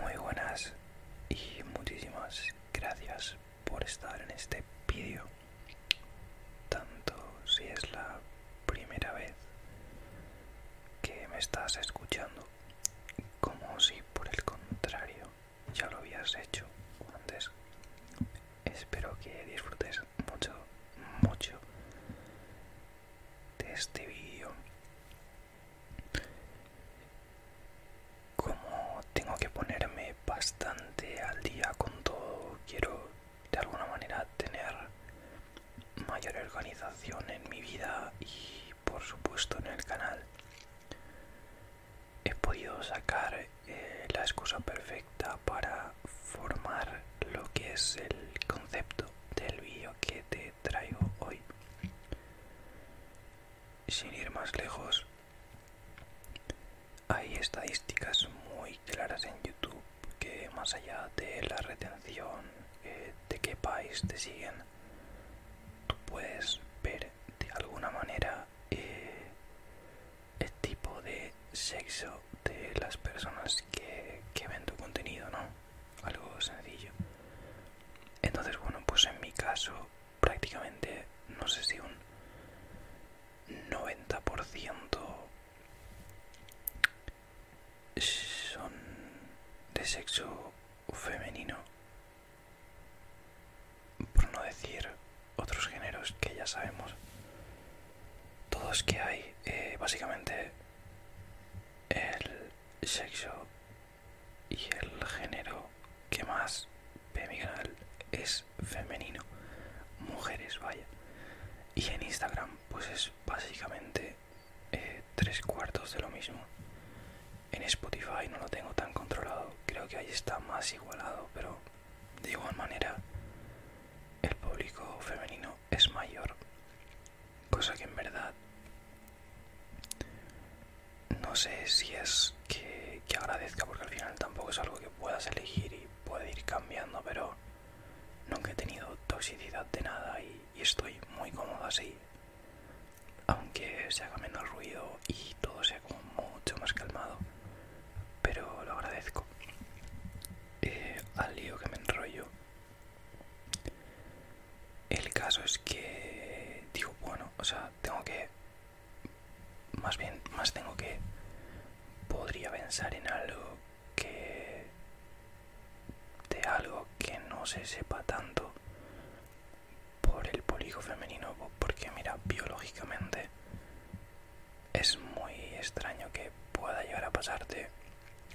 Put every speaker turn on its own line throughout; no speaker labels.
Muy buenas y muchísimas gracias por estar en este vídeo.
Tanto si es la primera vez que me estás escuchando como si por el contrario ya lo habías hecho antes. Espero que disfrutes mucho, mucho de este vídeo como tengo que ponerme bastante al día con todo quiero de alguna manera tener mayor organización en mi vida y por supuesto en el canal he podido sacar eh, la excusa perfecta para formar lo que es el concepto del vídeo que te traigo hoy. Sin ir más lejos, hay estadísticas muy claras en YouTube que más allá de la retención, eh, de qué país te siguen, tú puedes ver de alguna manera eh, el tipo de sexo de las personas que, ven tu contenido, ¿no? Algo sencillo. Entonces, bueno, pues en mi caso prácticamente no sé si un 90% son de sexo femenino, por no decir otros géneros que ya sabemos. Todos que hay, eh, básicamente el sexo y el género que más ve es femenino, mujeres, vaya. Y en Instagram pues es básicamente eh, tres cuartos de lo mismo. En Spotify no lo tengo tan controlado, creo que ahí está más igualado, pero de igual manera el público femenino es mayor cosa que en verdad no sé si es que, agradezca porque al final tampoco es algo que puedas elegir y puede ir cambiando pero nunca he tenido toxicidad de nada y, estoy muy cómodo así aunque se haga menos ruido y todo sea como mucho más calmado pero lo agradezco eh, al lío que me enrollo el caso es que digo, bueno, o sea, tengo que... Más bien, más tengo que... Podría pensar en algo que... De algo que no se sepa tanto por el polígono femenino, porque mira, biológicamente es muy extraño que pueda llegar a pasarte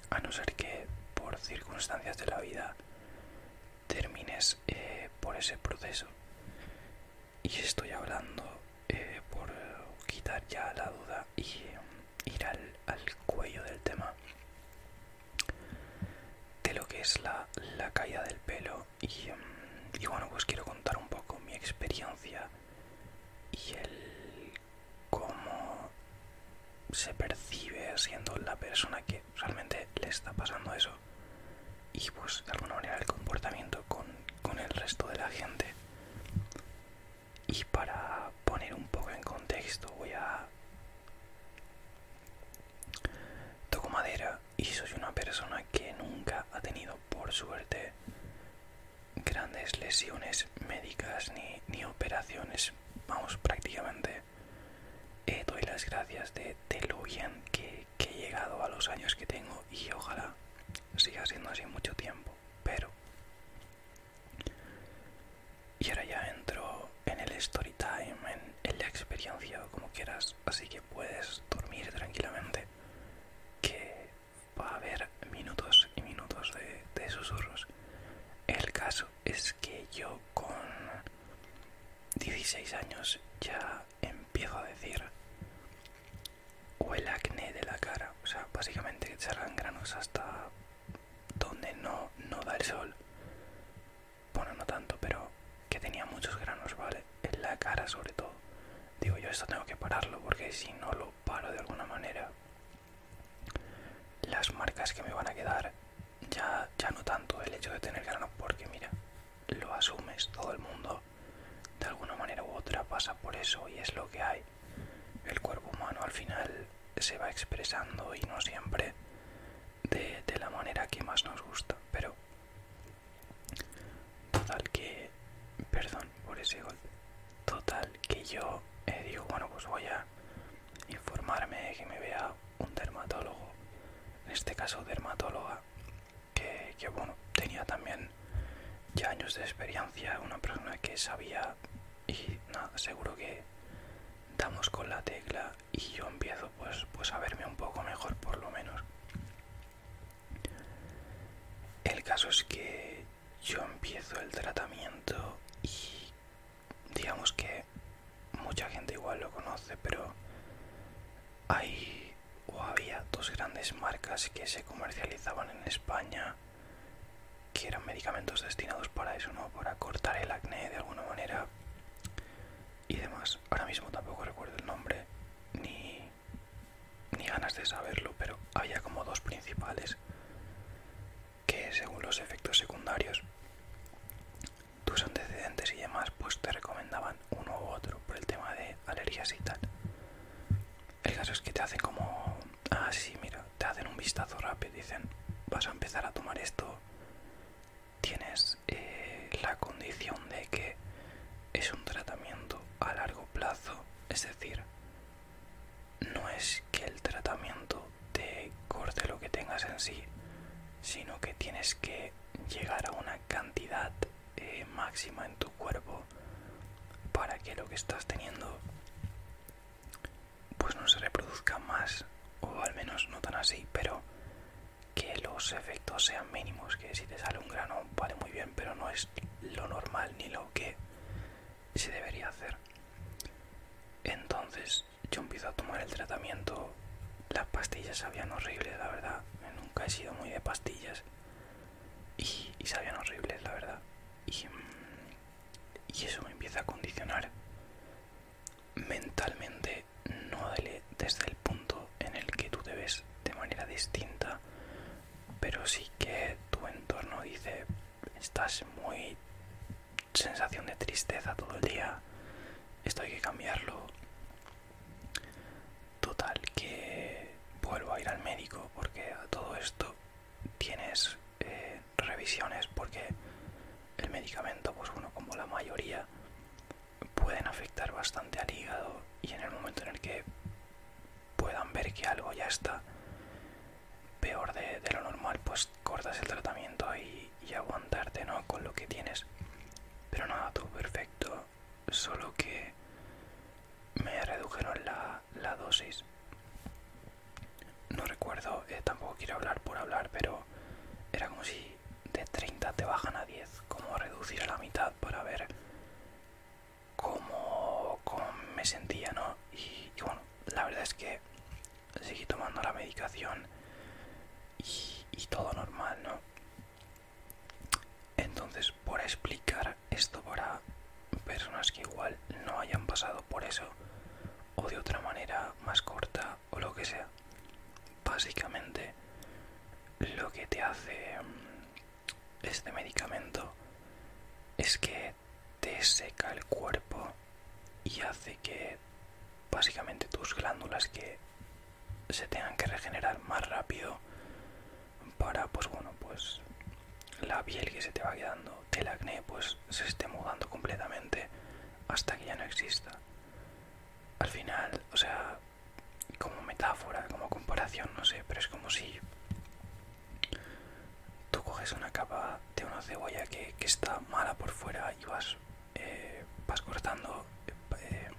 a no ser que por circunstancias de la vida termines eh, por ese proceso. Y estoy hablando eh, por quitar ya la duda y mm, ir al, cuello del tema de lo que es la, caída del pelo mm, y bueno pues quiero contar un poco mi experiencia y el cómo se percibe siendo la persona que realmente le está pasando eso y pues de alguna manera el comportamiento con, con el resto de la gente. Y para poner un poco en contexto voy a... Toco madera y soy una persona que nunca ha tenido por suerte grandes lesiones médicas ni, operaciones. Vamos, prácticamente eh, doy las gracias de, de lo bien que, he llegado a los años que tengo y ojalá siga siendo así mucho tiempo. Pero... Y ahora ya entro en el story time, en, la experiencia o como quieras, así que puedes dormir tranquilamente. Que va a haber minutos y minutos de, de susurros. El caso es que yo con 16 años ya empiezo a decir o el acné de la cara, o sea, básicamente que granos hasta donde no, no da el sol. Bueno, no tanto, pero que tenía muchos granos, ¿vale? En la cara sobre todo. Digo, yo esto tengo que pararlo porque si no lo paro de alguna manera, las marcas que me van a quedar ya, ya no tanto el hecho de tener grano porque mira lo asumes todo el mundo de alguna manera u otra pasa por eso y es lo que hay el cuerpo humano al final se va expresando y no siempre de, la manera que más nos gusta pero total que perdón por ese gol total que yo he eh, digo bueno pues voy a informarme que me vea un dermatólogo, en este caso dermatóloga, que, que bueno, tenía también ya años de experiencia, una persona que sabía y nada, seguro que damos con la tecla y yo empiezo pues, pues a verme un poco mejor por lo menos. El caso es que yo empiezo el tratamiento y digamos que mucha gente igual lo conoce, pero hay o había dos grandes marcas que se comercializaban en España que eran medicamentos destinados para eso, ¿no? Para cortar el acné de alguna manera y demás. Ahora mismo tampoco recuerdo el nombre ni, ni ganas de saberlo, pero había como dos principales que según los efectos secundarios, tus antecedentes y demás, pues te recomendaban uno u otro por el tema de alergias y tal. El caso es que te hacen como, ah, sí, mira, te hacen un vistazo rápido, dicen, vas a empezar a tomar esto, tienes eh, la condición de que es un tratamiento a largo plazo, es decir, no es que el tratamiento te corte lo que tengas en sí, sino que tienes que llegar a una cantidad eh, máxima en tu cuerpo para que lo que estás teniendo pues no se reproduzca más o al menos no tan así pero que los efectos sean mínimos que si te sale un grano vale muy bien pero no es lo normal ni lo que se debería hacer. Entonces yo empiezo a tomar el tratamiento. Las pastillas sabían horrible la verdad. Nunca he sido muy de pastillas. Y, sabían horribles, la verdad. Y, mm, y eso me empieza a condicionar mentalmente, no desde el punto en el que tú debes de manera distinta, pero sí que tu entorno dice, estás muy sensación de tristeza todo el día. Esto hay que cambiarlo. Total, que vuelvo a ir al médico porque a todo esto tienes eh, revisiones porque el medicamento, pues bueno, como la mayoría,
pueden afectar bastante al hígado y en el momento en el que puedan ver que algo
ya está peor de, lo normal, pues cortas el tratamiento y, aguantarte, ¿no? Con lo que tienes. Pero nada, todo perfecto. Solo que me redujeron la, dosis. No recuerdo, eh, tampoco quiero hablar por hablar, pero era como si de 30 te bajan a 10, como reducir a la mitad para ver cómo, me sentía, ¿no? y, bueno, la verdad es que seguí tomando la medicación y, todo normal, ¿no? Entonces, por explicar esto para personas que igual no hayan pasado por eso, o de otra manera más corta, o lo que sea, básicamente lo que te hace mm, este medicamento es que te seca el cuerpo y hace que básicamente tus glándulas que se tengan que regenerar más rápido para pues bueno pues la piel que se te va quedando del acné pues se esté mudando completamente hasta que ya no exista al final o sea como metáfora como comparación no sé pero es como si tú coges una capa de una cebolla que, está mala por fuera y vas, eh, vas cortando eh,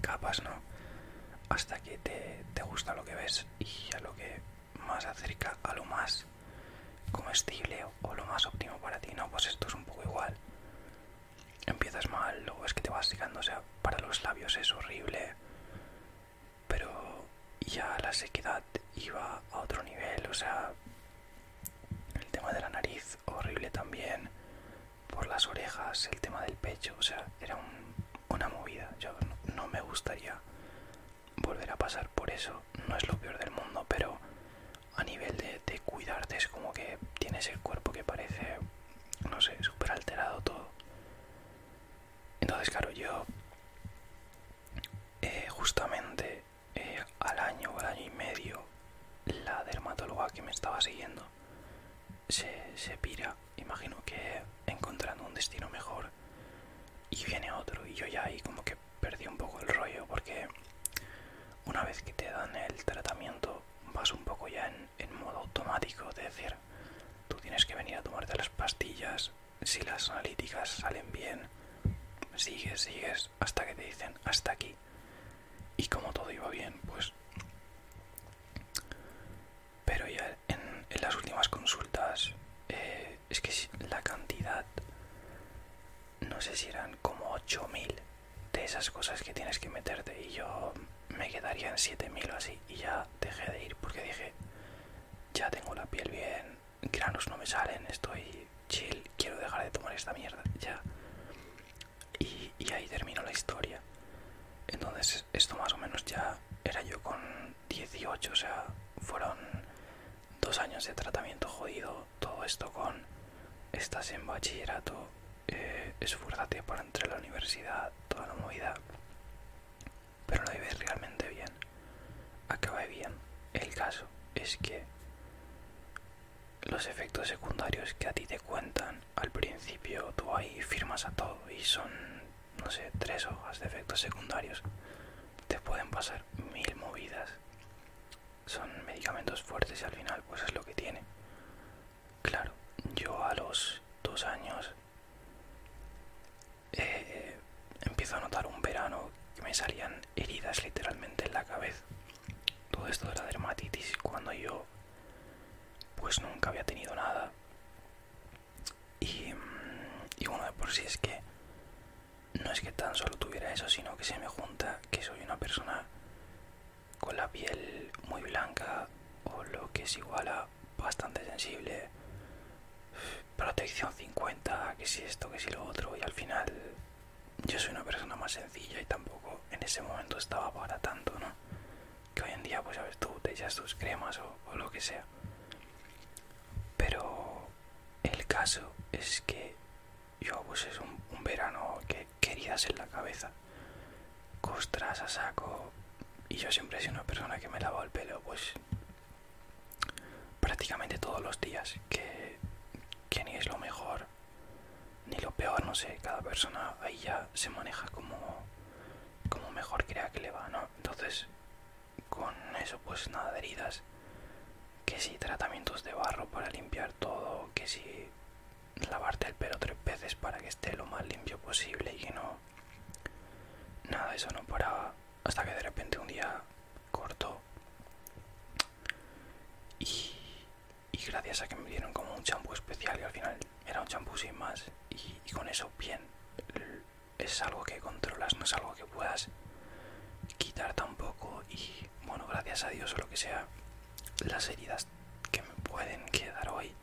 capas, ¿no? Hasta que te, te gusta lo que ves y a lo que más acerca a lo más comestible o lo más óptimo para ti, ¿no? Pues esto es un poco igual. Empiezas mal, luego es que te vas secando, o sea, para los labios es horrible, pero y ya la sequedad iba a otro nivel, o sea, el tema de la nariz horrible también, por las orejas, el tema del pecho, o sea, era
una movida, yo no, me gustaría volver a pasar por eso, no es lo peor
del mundo, pero a nivel de, cuidarte es como que tienes el cuerpo que parece, no sé, súper alterado todo. Entonces, claro, yo eh, justamente eh, al año o al año y medio la dermatóloga que me estaba siguiendo se, pira, imagino que encontrando un destino mejor y viene otro y yo ya ahí como que perdí un poco el rollo porque una vez que te dan el tratamiento vas un poco ya en, en modo automático de decir tú tienes que venir a tomarte las pastillas si las analíticas salen bien, sigues, sigues hasta que te dicen hasta aquí. Y como todo iba bien, pues... Pero ya en, en las últimas consultas, eh, es que la cantidad, no sé si eran como 8.000 de esas cosas que tienes que meterte y yo me
quedaría en 7.000 o así y ya dejé de ir porque dije, ya tengo la piel bien, granos no me salen, estoy chill, quiero dejar de tomar esta mierda, ya. Y, ahí terminó la historia. Entonces, esto más o menos ya era yo
con 18, o sea, fueron dos años de tratamiento jodido, todo esto con estás en bachillerato, eh, esfuérzate para entrar la universidad, toda la movida. Pero lo vives realmente bien acabé bien. El caso es que los efectos secundarios que a ti te cuentan al principio, tú ahí firmas a todo y son, no sé, tres hojas de efectos secundarios. Te pueden pasar mil movidas. Son medicamentos fuertes y al final pues es lo que tiene. Claro, yo a los dos años eh, empiezo a notar un verano que me salían heridas literalmente en la cabeza. Todo esto de la dermatitis cuando yo pues nunca había tenido nada. Mm, y, bueno, de por sí es que no es que tan solo tuviera eso, sino que se me junta que soy una persona con la piel muy blanca o lo que es igual a bastante sensible protección 50, que si esto, que si lo otro, y al final yo soy una persona más sencilla y tampoco en ese momento estaba para tanto, ¿no? Que hoy en día, pues ver tú, te echas tus cremas o, lo que sea. Pero el caso es que yo, pues es un, verano que queridas en la cabeza, costras a saco, y yo siempre soy una persona que me lavo el pelo, pues prácticamente todos los días, que, ni es lo mejor ni lo peor, no sé, cada persona ella ya se maneja como, como mejor crea que le va, ¿no? Entonces, con eso pues nada de heridas, que si tratamientos de barro para limpiar todo, que si lavarte el pelo tres veces para que esté lo más limpio posible y que no... Nada, eso no para hasta que de repente un día cortó. Y, gracias a que me dieron como un champú especial, y al final era un champú sin más, y, y con eso bien. Es algo que controlas, no es algo que puedas quitar tampoco. Y bueno, gracias a Dios o lo que sea, las heridas que me pueden quedar hoy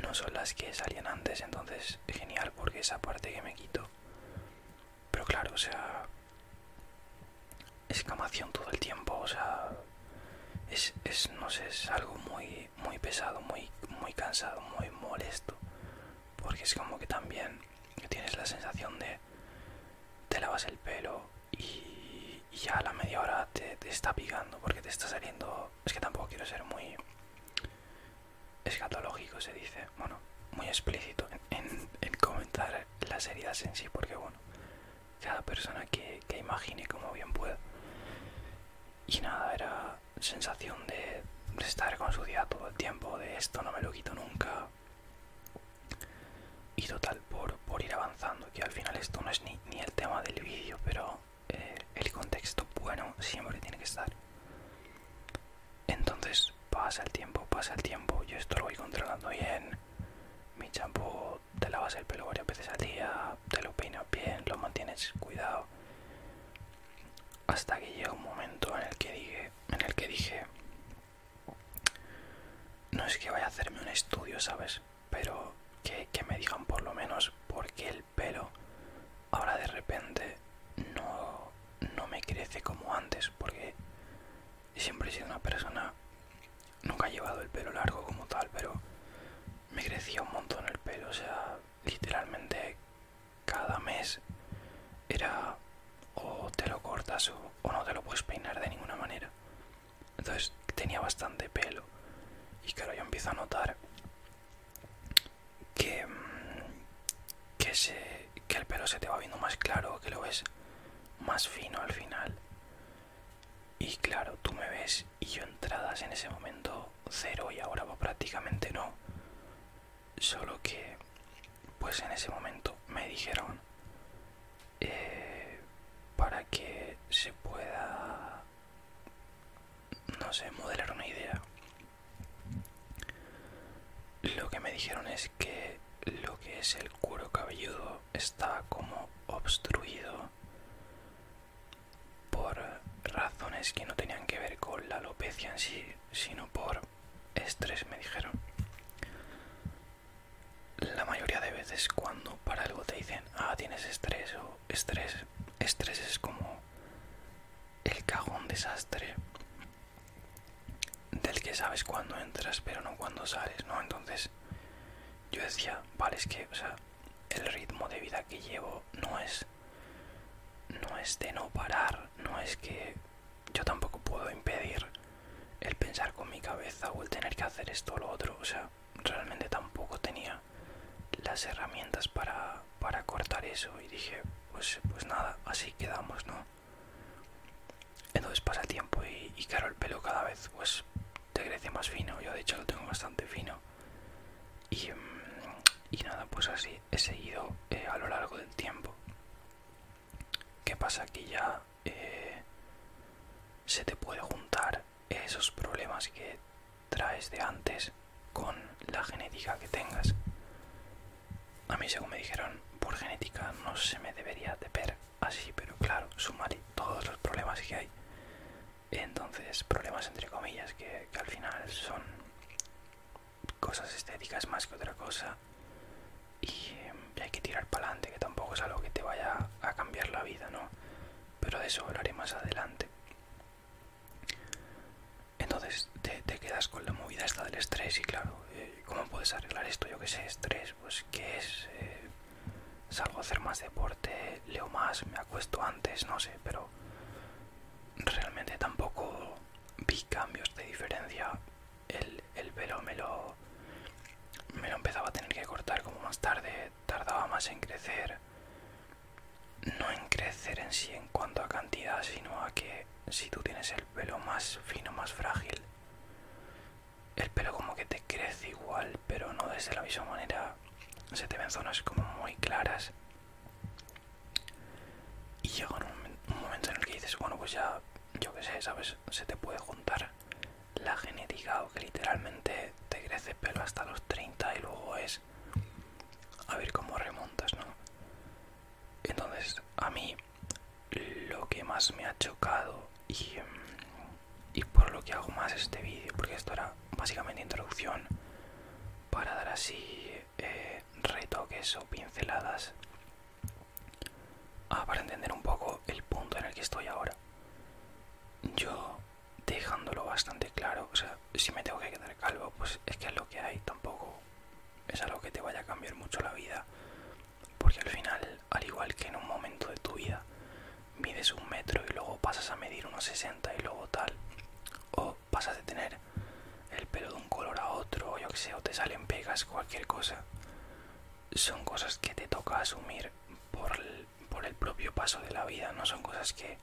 no son las que salían antes, entonces genial porque esa parte que me quito pero claro, o sea, escamación todo el tiempo, o sea, es, no es algo muy, pesado, muy, cansado, muy molesto. Porque es como que también tienes la sensación de te lavas el pelo y, ya a la media hora te, te está picando porque te está saliendo... Es que tampoco quiero ser muy escatológico, se dice bueno, muy explícito en, comentar las heridas en sí, porque bueno, cada persona que, imagine como bien pueda. Y nada, era sensación de, estar con su día todo el tiempo, de esto no me lo quito nunca. Y total, por, ir avanzando, que al final esto no es ni, ni el tema del vídeo, pero eh, el contexto bueno siempre tiene que estar. Entonces, pasa el tiempo, pasa el tiempo, yo esto lo voy controlando bien. Mi champú te lavas el pelo varias veces al día, te lo peinas bien, lo mantienes cuidado. Hasta que llega un momento en el que dije, en el que dije, no es que vaya a hacerme un estudio, ¿sabes? Pero que, me digan por lo menos por qué el pelo ahora de repente no, no me crece como antes, porque y siempre he sido una persona, nunca he llevado el pelo largo como tal, pero me crecía un montón el pelo, o sea, literalmente cada mes era o te lo cortas o, no te lo puedes peinar de ninguna manera. Entonces tenía bastante pelo y claro, yo empiezo a notar que, mm, que, que el pelo se te va viendo más claro, que lo ves más fino al final. Y claro, tú me ves y yo entradas en ese momento
cero y ahora prácticamente no. Solo que, pues en ese momento me dijeron
eh, para que se pueda, no sé, modelar una idea lo que me dijeron es que lo que es el cuero cabelludo está como obstruido por razones que no tenían que ver con la alopecia en sí, sino por estrés, me dijeron. La mayoría de veces cuando para algo te dicen, ah, tienes estrés o estrés, estrés es como el cajón desastre del que sabes cuándo entras, pero no cuándo sales, ¿no? Entonces yo decía, vale, es que, o sea, el ritmo de vida que llevo no es, no es de no parar, no es que yo tampoco puedo impedir el pensar con mi cabeza o el tener que hacer esto o lo otro, o sea, realmente tampoco tenía las herramientas para, para cortar eso y dije, pues, pues nada, así quedamos, ¿no? Entonces pasa el tiempo y, claro, el pelo cada vez pues te crece más fino. Yo de hecho lo tengo bastante fino. Y, mm, nada, pues así he seguido eh, a lo largo del tiempo. ¿Qué pasa? Que ya eh, se te puede juntar esos problemas que traes de antes con la genética que tengas. A mí, según me dijeron, por genética no se me debería de ver así, pero claro, sumaré todos los problemas que hay. Entonces, problemas entre comillas, que, al final son cosas estéticas más que otra cosa. Y, hay que tirar para adelante, que tampoco es algo que te vaya a cambiar la vida, ¿no? Pero de eso hablaré más adelante. Entonces te, quedas con la movida esta del estrés y claro, eh, ¿cómo puedes arreglar esto? Yo que sé, estrés, pues ¿qué es? Eh, salgo a hacer más deporte, leo más, me acuesto antes, no sé, pero realmente tampoco vi cambios de diferencia. El, el pelo me lo, me lo empezaba a tener que cortar como más tarde, tardaba más en crecer. No en crecer en sí en cuanto a cantidad, sino a que si tú tienes el pelo más fino, más frágil, el pelo como que te crece igual, pero no desde la misma manera. Se te ven zonas como muy claras. Y llega un, momento en el que dices, bueno, pues ya, yo que sé, ¿sabes? Se te puede juntar la genética o que literalmente te crece pelo hasta los 30 y luego es a ver cómo remontas, ¿no? Entonces, a mí lo que más me ha chocado mm, y, por lo que hago más este vídeo, porque esto era básicamente introducción para dar así eh, retoques o pinceladas para entender un poco el punto en el que estoy ahora. Yo dejándolo bastante claro, o sea, si me tengo que quedar calvo, pues es que lo que hay, tampoco es algo que te vaya a cambiar mucho la vida porque al final, al igual que en un momento de tu vida, mides un metro y luego pasas a medir unos 60 y luego tal, o pasas de tener el pelo de un color a otro, o yo que sé, o te salen pegas, cualquier cosa, son cosas que te toca asumir por el, propio paso de la vida, no son cosas que,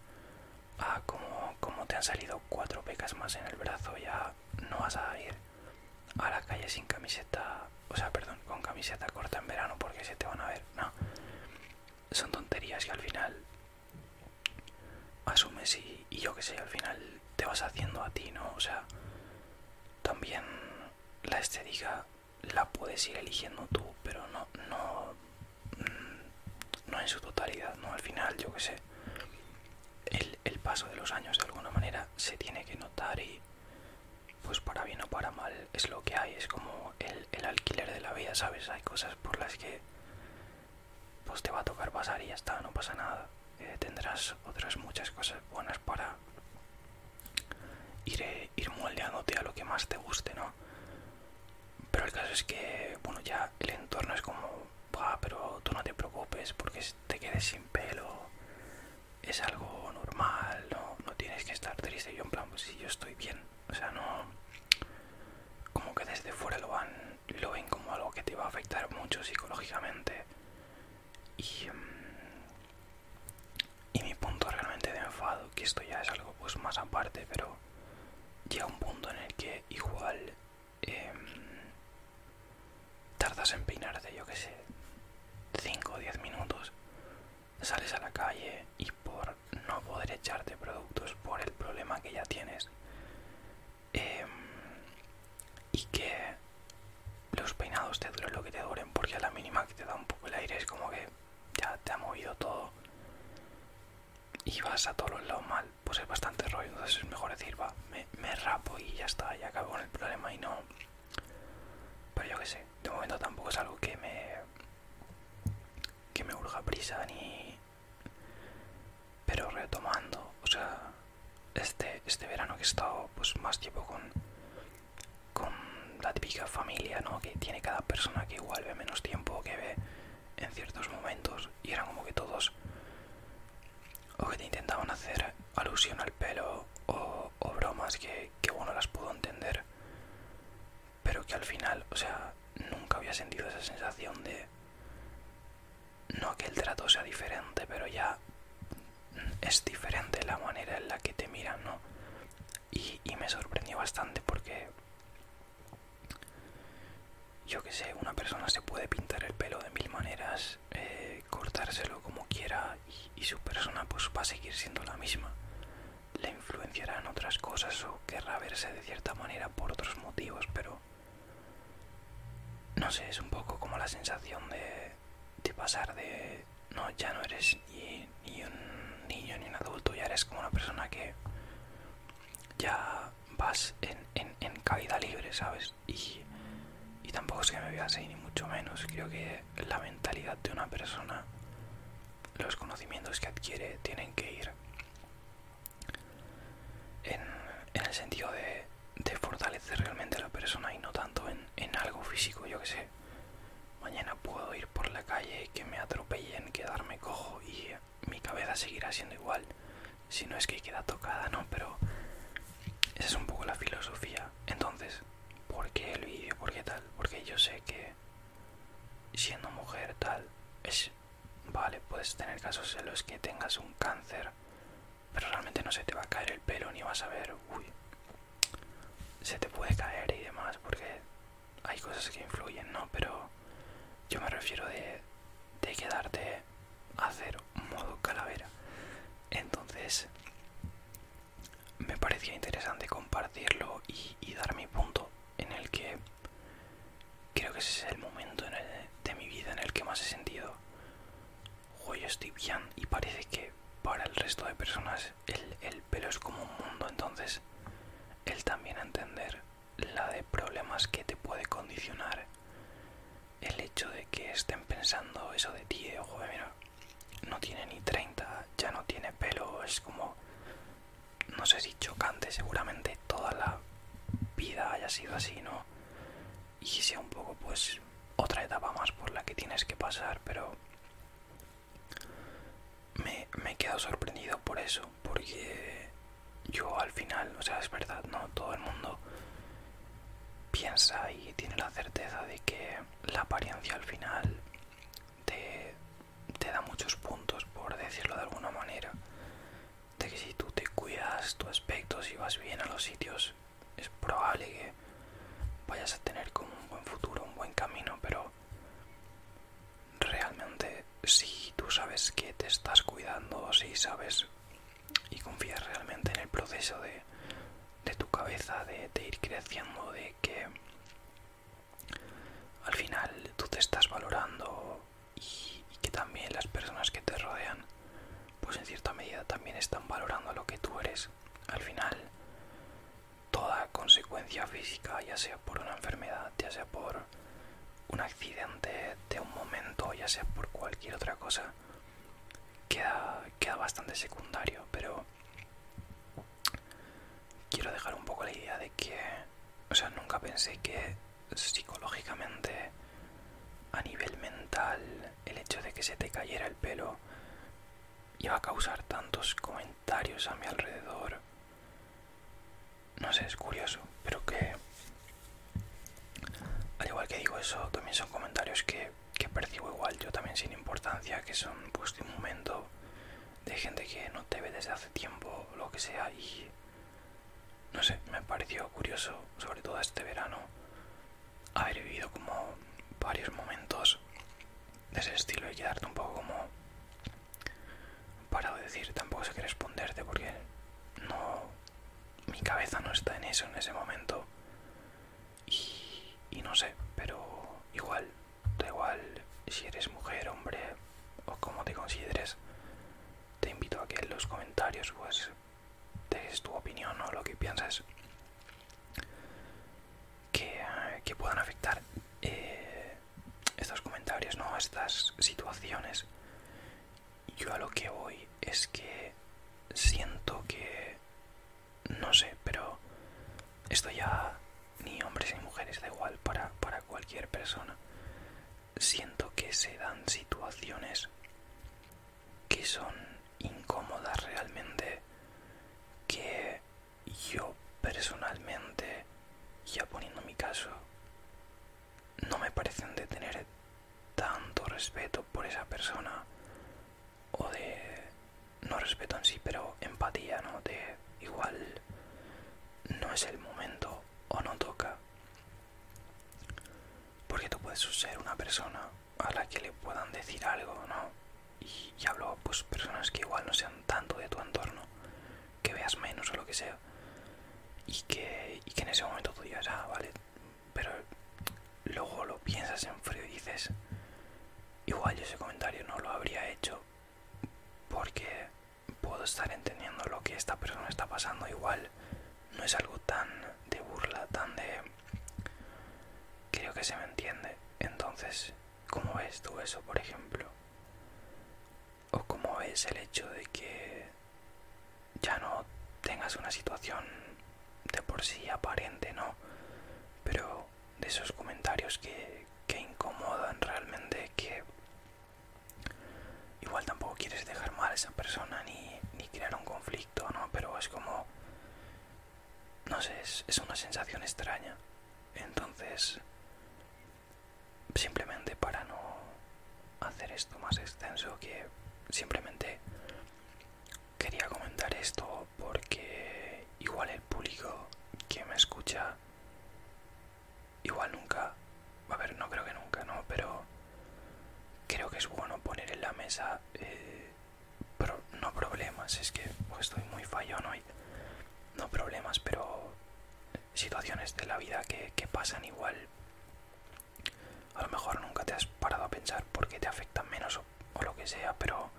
ah, como, como te han salido cuatro pecas más en el brazo, ya no vas a ir a la calle sin camiseta, o sea, perdón, con camiseta corta en verano porque se te van a ver. No, son tonterías que al final asumes y, y yo que sé, al final te vas haciendo a ti, ¿no? O sea, también la estética la puedes ir eligiendo tú, pero no, no, mm, no en su totalidad, ¿no? Al final, yo que sé, el, paso de los años de alguna manera se tiene que notar y pues para bien o para mal es lo que hay, es como el, alquiler de la vida, ¿sabes? Hay cosas por las que pues te va a tocar pasar y ya está, no pasa nada. Eh, tendrás otras muchas cosas buenas para ir, eh, ir moldeándote a lo que más te guste, ¿no? Pero el caso es que, bueno, ya el entorno es como, va, pero tú no te preocupes porque te quedes sin pelo es algo normal, no, tienes que estar triste. Yo en plan, pues si yo estoy bien, o sea, no... Como que desde fuera lo, van, lo ven como algo que te va a afectar mucho psicológicamente. Y, mm, y mi punto realmente de enfado, que esto ya es algo pues más aparte, pero llega un punto en el que igual em, tardas en peinarte, yo que sé, 5 o 10 minutos, sales a la calle y por no poder echarte productos por el problema que ya tienes em, y que los peinados te duren lo que te duren porque a la mínima que te da un poco el aire es como que ya te ha movido todo y vas a todos los lados mal, pues es bastante rollo, entonces es mejor decir, va, me, rapo y ya está, y acabo con el problema y no pero yo que sé, de momento tampoco es algo que me. que me urja prisa ni. Pero retomando, o sea,
este, este, verano que he estado pues más tiempo con. con la típica familia, ¿no? Que tiene cada persona que igual ve menos
tiempo, que ve en ciertos momentos, y eran como que todos o que te intentaban hacer alusión al pelo o, bromas que, uno bueno las pudo entender pero que al final o sea nunca había sentido esa sensación de no que el trato sea diferente pero ya es diferente la manera en la que te miran no y, me sorprendió bastante porque yo que sé, una
persona se puede pintar el pelo de mil maneras, eh, cortárselo como quiera y, su persona
pues va a seguir siendo la misma. Le en otras cosas o querrá verse de cierta manera por otros motivos, pero no sé, es un poco como la sensación de, pasar de no, ya no eres ni, un niño ni un adulto, ya eres como una persona que ya vas en, en, en caída libre, ¿sabes? y, tampoco es que me vea así, ni mucho menos. Creo que la mentalidad de una persona, los conocimientos que adquiere, tienen que ir en, el sentido de, fortalecer realmente a la persona y no tanto en, algo físico, yo que sé. Mañana puedo ir por la calle, que me atropellen, quedarme cojo y mi cabeza seguirá siendo igual. Si no es que queda tocada, ¿no? Pero esa es un poco la filosofía entonces, ¿por qué el vídeo? ¿Por qué tal? Porque yo sé que siendo mujer tal es... Vale, puedes tener casos en los que tengas un cáncer, pero realmente no se te va a caer el pelo ni vas a ver, uy, se te puede caer y demás, porque hay cosas que influyen, ¿no? Pero yo me refiero de
quedarte a cero modo calavera. Entonces me parecía interesante compartirlo
y, dar mi punto en el que creo que ese es el momento de mi vida en el que más he sentido, hoy estoy bien y parece que para el resto de personas el, pelo es como un mundo, entonces él también entender la de problemas que te puede condicionar el hecho de que estén pensando eso de ti, de, no tiene ni 30, ya no tiene pelo, es como, no sé si chocante, seguramente toda la vida haya sido así, ¿no? Y sea un poco, pues, otra etapa más por la que tienes que pasar, pero me, me he quedado sorprendido por eso, porque yo al final, o sea, es verdad, ¿no? Todo el mundo piensa y tiene la certeza de que la apariencia al final te, da muchos puntos, por decirlo de alguna manera. De que si tú te cuidas tu aspecto, si vas bien a los sitios, es probable que vayas a tener como un buen futuro, un buen camino, pero realmente si tú sabes que te estás cuidando, si sabes y confías realmente en el proceso de, tu cabeza, de, ir creciendo, de que al final tú te estás valorando y, que también las personas que te rodean pues en cierta medida también están valorando lo que tú eres. Al final, toda consecuencia física, ya sea por una enfermedad, ya sea por un accidente
de un momento, ya sea por cualquier otra cosa, queda, queda bastante
secundario, pero quiero dejar un poco la idea de que, o sea, nunca pensé que psicológicamente, a nivel mental, el hecho de que se te cayera el pelo iba a causar tantos comentarios a mi alrededor. No sé, es curioso, pero que... Al igual que digo eso, también son comentarios que que, percibo igual yo también sin importancia, que son pues de un momento de gente que no te ve desde hace tiempo, lo que sea, y no sé, me pareció curioso, sobre todo este verano, haber vivido como varios momentos de ese estilo y quedarte un poco como parado decir, tampoco sé qué responderte porque no, mi cabeza no está en eso en ese momento y, no sé, pero igual, da igual si eres mujer, hombre o como te consideres, te invito a que en los comentarios pues des tu opinión o lo que pienses que, que puedan afectar eh, estos comentarios, ¿no? Estas situaciones. Yo a lo que voy es que siento que no sé, pero esto ya ni hombres ni mujeres, da igual para, cualquier persona. Siento que se dan situaciones que son incómodas realmente, que yo personalmente, ya poniendo mi caso, no me parecen de tener tanto respeto por esa persona o de no respeto en sí, pero empatía, ¿no? De igual no es el momento o no toca. Porque tú puedes ser una persona a la que le puedan decir algo, ¿no? Y, hablo, pues, personas que igual no sean tanto de tu entorno, que veas menos o lo que sea, y que, y que en ese momento tú ya ah, vale, pero luego lo piensas en frío y dices, igual yo ese comentario no lo habría hecho porque puedo estar entendiendo lo que esta persona está pasando, igual no es algo tan de burla, tan de... Creo que se me entiende. Entonces, ¿cómo ves tú eso, por ejemplo? ¿O cómo ves el hecho de que ya no tengas una situación de por sí aparente, ¿no? Pero de esos comentarios que, incomodan realmente, que igual tampoco quieres dejar mal a esa persona ni, crear un conflicto, ¿no? Pero es como, no sé, es una sensación extraña. Entonces, simplemente para no hacer esto más extenso, que simplemente quería comentar esto porque igual el público que me escucha, igual nunca, a ver, no creo que nunca, ¿no? Pero creo que es bueno poner en la mesa, eh, no problemas, es que pues, estoy muy fallón hoy, no problemas, pero situaciones de la vida que, pasan igual. A lo mejor nunca te has parado a pensar por qué te afectan menos o, lo que sea, pero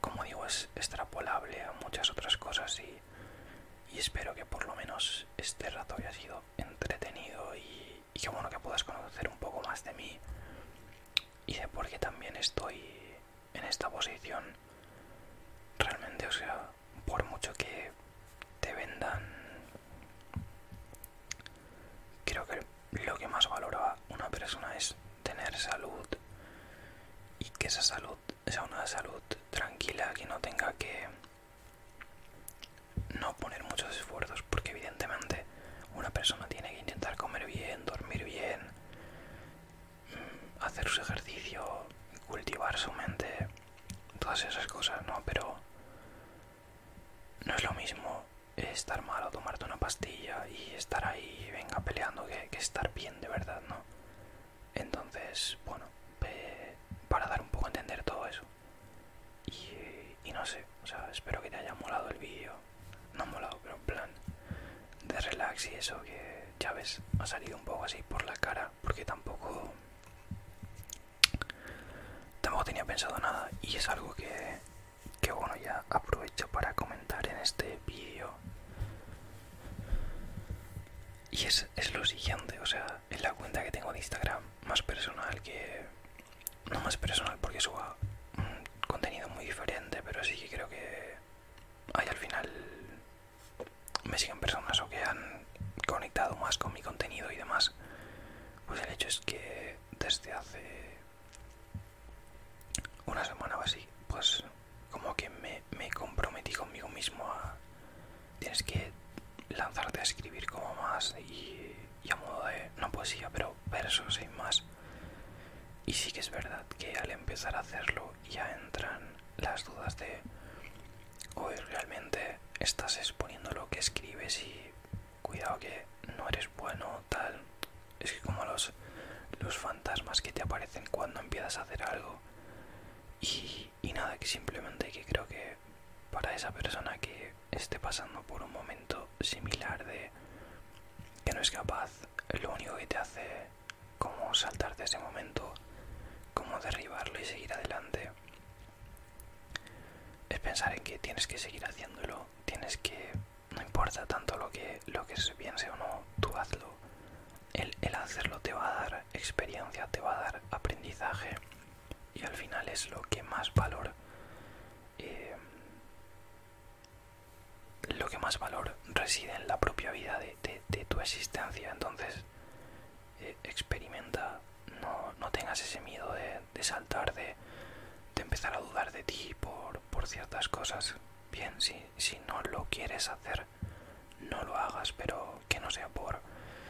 como digo es extrapolable a muchas otras cosas y, espero que por lo menos este rato haya sido entretenido y, y que bueno que puedas conocer un poco más de mí y de por qué también estoy en esta posición. Realmente, o sea, por mucho que te vendan Creo que lo que más valora una persona es tener salud y que esa salud sea una salud tranquila, que no tenga que no poner muchos esfuerzos, porque evidentemente una persona tiene que intentar comer bien, dormir bien, mm, hacer su ejercicio, cultivar su mente, todas esas cosas, ¿no? Pero no es lo mismo estar mal o tomarte una pastilla y estar ahí, venga, peleando, que, estar bien de verdad, ¿no? Entonces, bueno, para dar un poco a entender todo eso. Y, no sé, o sea, espero que te haya molado el vídeo. No molado, pero en plan de relax y eso, que ya ves, ha salido un poco así por la cara, porque tampoco... Tampoco tenía pensado nada y es algo que que bueno ya aprovecho para comentar en este vídeo y es, lo siguiente o sea en la cuenta que tengo de instagram más personal que no más personal porque suba un contenido muy diferente pero sí que creo que ahí al final me siguen personas o que han conectado más con mi contenido y demás pues el hecho es que desde hace una semana o así, pues como que me, comprometí conmigo mismo a... Tienes que lanzarte a escribir como más y, a modo de... No poesía, pero versos y más. Y sí que es verdad que al empezar a hacerlo ya entran las dudas de hoy realmente estás exponiendo lo que escribes y cuidado que no eres bueno tal es que como los, fantasmas que te aparecen cuando empiezas a hacer algo. Y, y nada, que simplemente que creo que para esa persona que esté pasando por un momento similar de que no es capaz, lo único que te hace como saltarte ese momento, como derribarlo y seguir adelante, es pensar en que tienes que seguir haciéndolo, tienes que no importa tanto lo que, lo que se piense o no, tú hazlo. El, hacerlo te va a dar experiencia, te va a dar aprendizaje y al final es lo que más valor eh,
lo que más valor reside en la propia vida de, tu
existencia entonces eh, experimenta no, tengas ese miedo de saltar de, empezar a dudar de ti por, por ciertas cosas. Bien, si, si no lo quieres hacer, no lo hagas, pero que no sea por...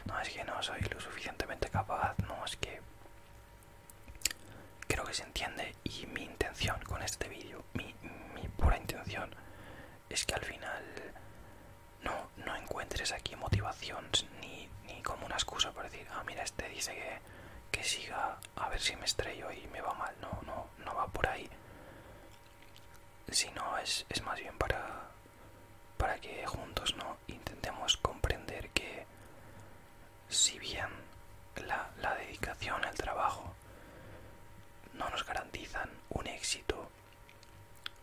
No, es que no soy lo suficientemente capaz, no, es que... Creo que se entiende y mi intención con este vídeo, mi, mi pura intención, es que al final no, no encuentres aquí motivación ni, ni como una excusa para decir, ah, mira, este dice que que, siga a ver si me estrello y me va mal. No, no, no va por ahí. Sino es, es más bien para, para que juntos no intentemos comprender que si bien la, dedicación al trabajo no nos garantizan un éxito,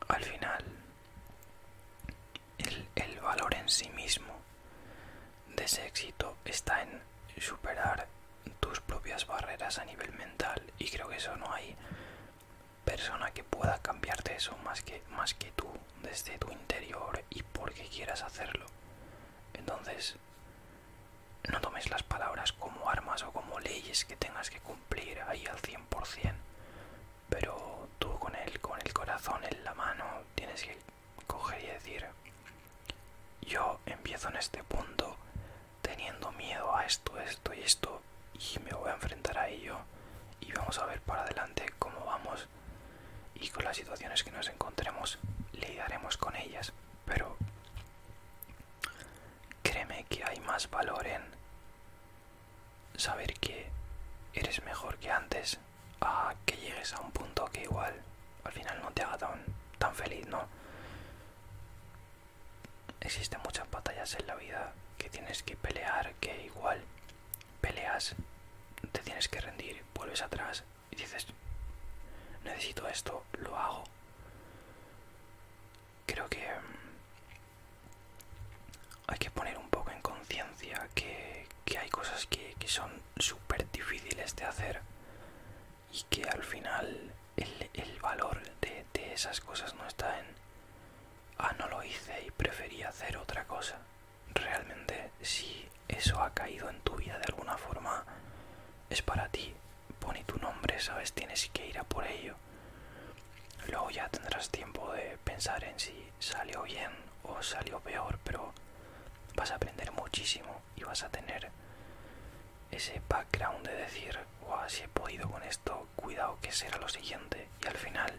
al final el valor en sí mismo de ese éxito está en superar tus propias barreras a nivel mental y creo que eso no hay persona que pueda cambiarte eso más que más que tú desde tu interior y porque quieras hacerlo entonces no tomes las palabras como armas o como leyes que tengas que cumplir ahí al 100% pero tú con el con el corazón en la mano tienes que coger y decir, yo empiezo en este punto teniendo miedo a esto, esto y esto, y me voy a enfrentar a ello, y vamos a ver para adelante cómo vamos, y con las situaciones que nos encontremos, lidiaremos con ellas, pero créeme que hay más valor en saber que eres mejor que antes a que llegues a un punto que igual al final no te haga tan, feliz, ¿no? Existen muchas batallas en la vida que tienes que pelear, que igual peleas, te tienes que rendir, vuelves atrás y dices, necesito esto, lo hago. Creo que mm, hay que poner un poco en conciencia que, hay cosas que, que son súper difíciles de hacer y que al final el, valor de, de esas cosas no está en, ah, no lo hice y preferí hacer otra cosa. Realmente si eso ha caído en tu vida de alguna forma, es para ti, pone tu nombre, sabes, tienes que ir a por ello. Luego ya tendrás tiempo de pensar en si salió bien o salió peor, pero vas a aprender muchísimo y vas a tener ese background de decir, wow, si he podido con esto, cuidado que será lo siguiente. Y al final,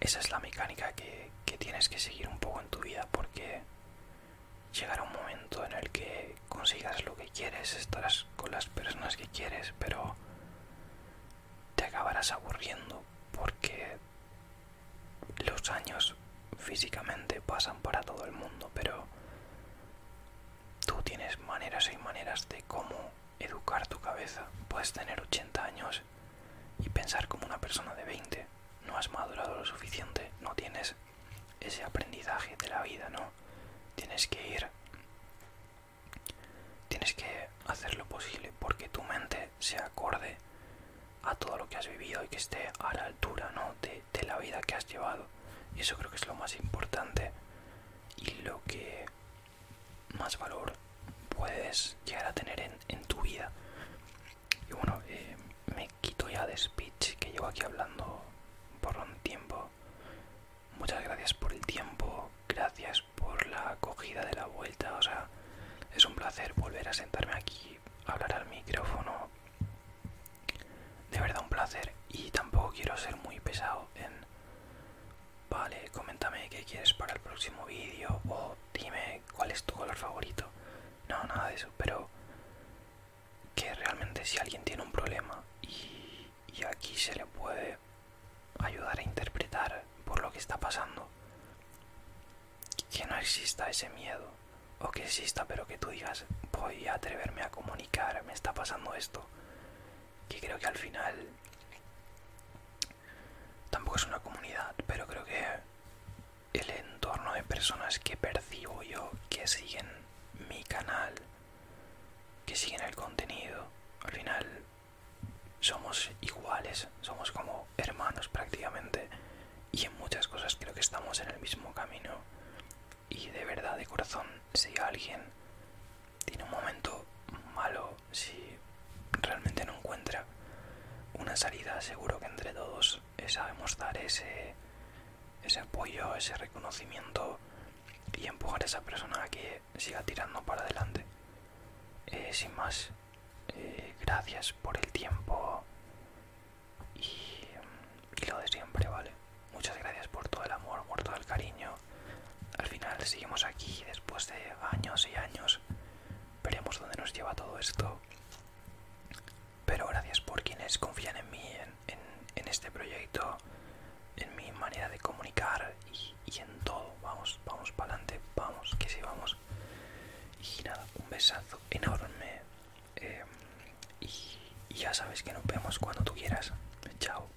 esa es la mecánica que, que tienes que seguir un poco en tu vida porque llegará un momento en el que consigas lo que quieres, estarás con las personas que quieres, pero te acabarás aburriendo porque los años físicamente pasan para todo el mundo, pero tú tienes maneras y maneras de cómo educar tu cabeza. Puedes tener 80 años y pensar como una persona de 20. No has madurado lo suficiente, no tienes ese aprendizaje de la vida, ¿no? Tienes que ir tienes que hacer lo posible porque tu mente se acorde a todo lo que has vivido y que esté a la altura de, la vida que has llevado. Y eso creo que es lo más importante y lo que más valor puedes llegar a tener en, tu vida. Y bueno, eh, me quito ya de speech que llevo aquí hablando por un tiempo. Muchas gracias por el tiempo, gracias por la acogida de la vuelta. O sea, es un placer volver a sentarme aquí hablar al micrófono. De verdad un placer y tampoco quiero ser muy pesado en... Vale, coméntame qué quieres para el próximo vídeo o dime cuál es tu color favorito. No, nada de eso, pero que realmente si alguien tiene un problema y aquí se le puede ayudar a interpretar por lo que está pasando que no exista ese miedo, o que exista pero que tú digas, voy a atreverme a comunicar, me está pasando esto, que creo que al final tampoco es una comunidad, pero creo que el entorno de personas que percibo yo, que siguen mi canal, que siguen el contenido, al final somos iguales, somos como hermanos prácticamente y en muchas cosas creo que estamos en el mismo camino y de verdad de corazón si alguien tiene un momento malo si realmente no encuentra una salida seguro que entre todos sabemos dar ese ese apoyo ese reconocimiento y empujar a esa persona a que siga tirando para adelante eh, sin más eh, gracias por el tiempo
y, lo de siempre, ¿vale? Muchas gracias por todo el amor, por todo el
cariño. Al final seguimos aquí después de años y años. Veremos dónde nos lleva todo esto. Pero gracias por quienes confían en mí, en, este proyecto, en mi manera de comunicar y, y en todo. Vamos, vamos para adelante, vamos, que sí, vamos. Y nada, un besazo enorme eh, y ya sabes que nos vemos cuando tú quieras. Chao.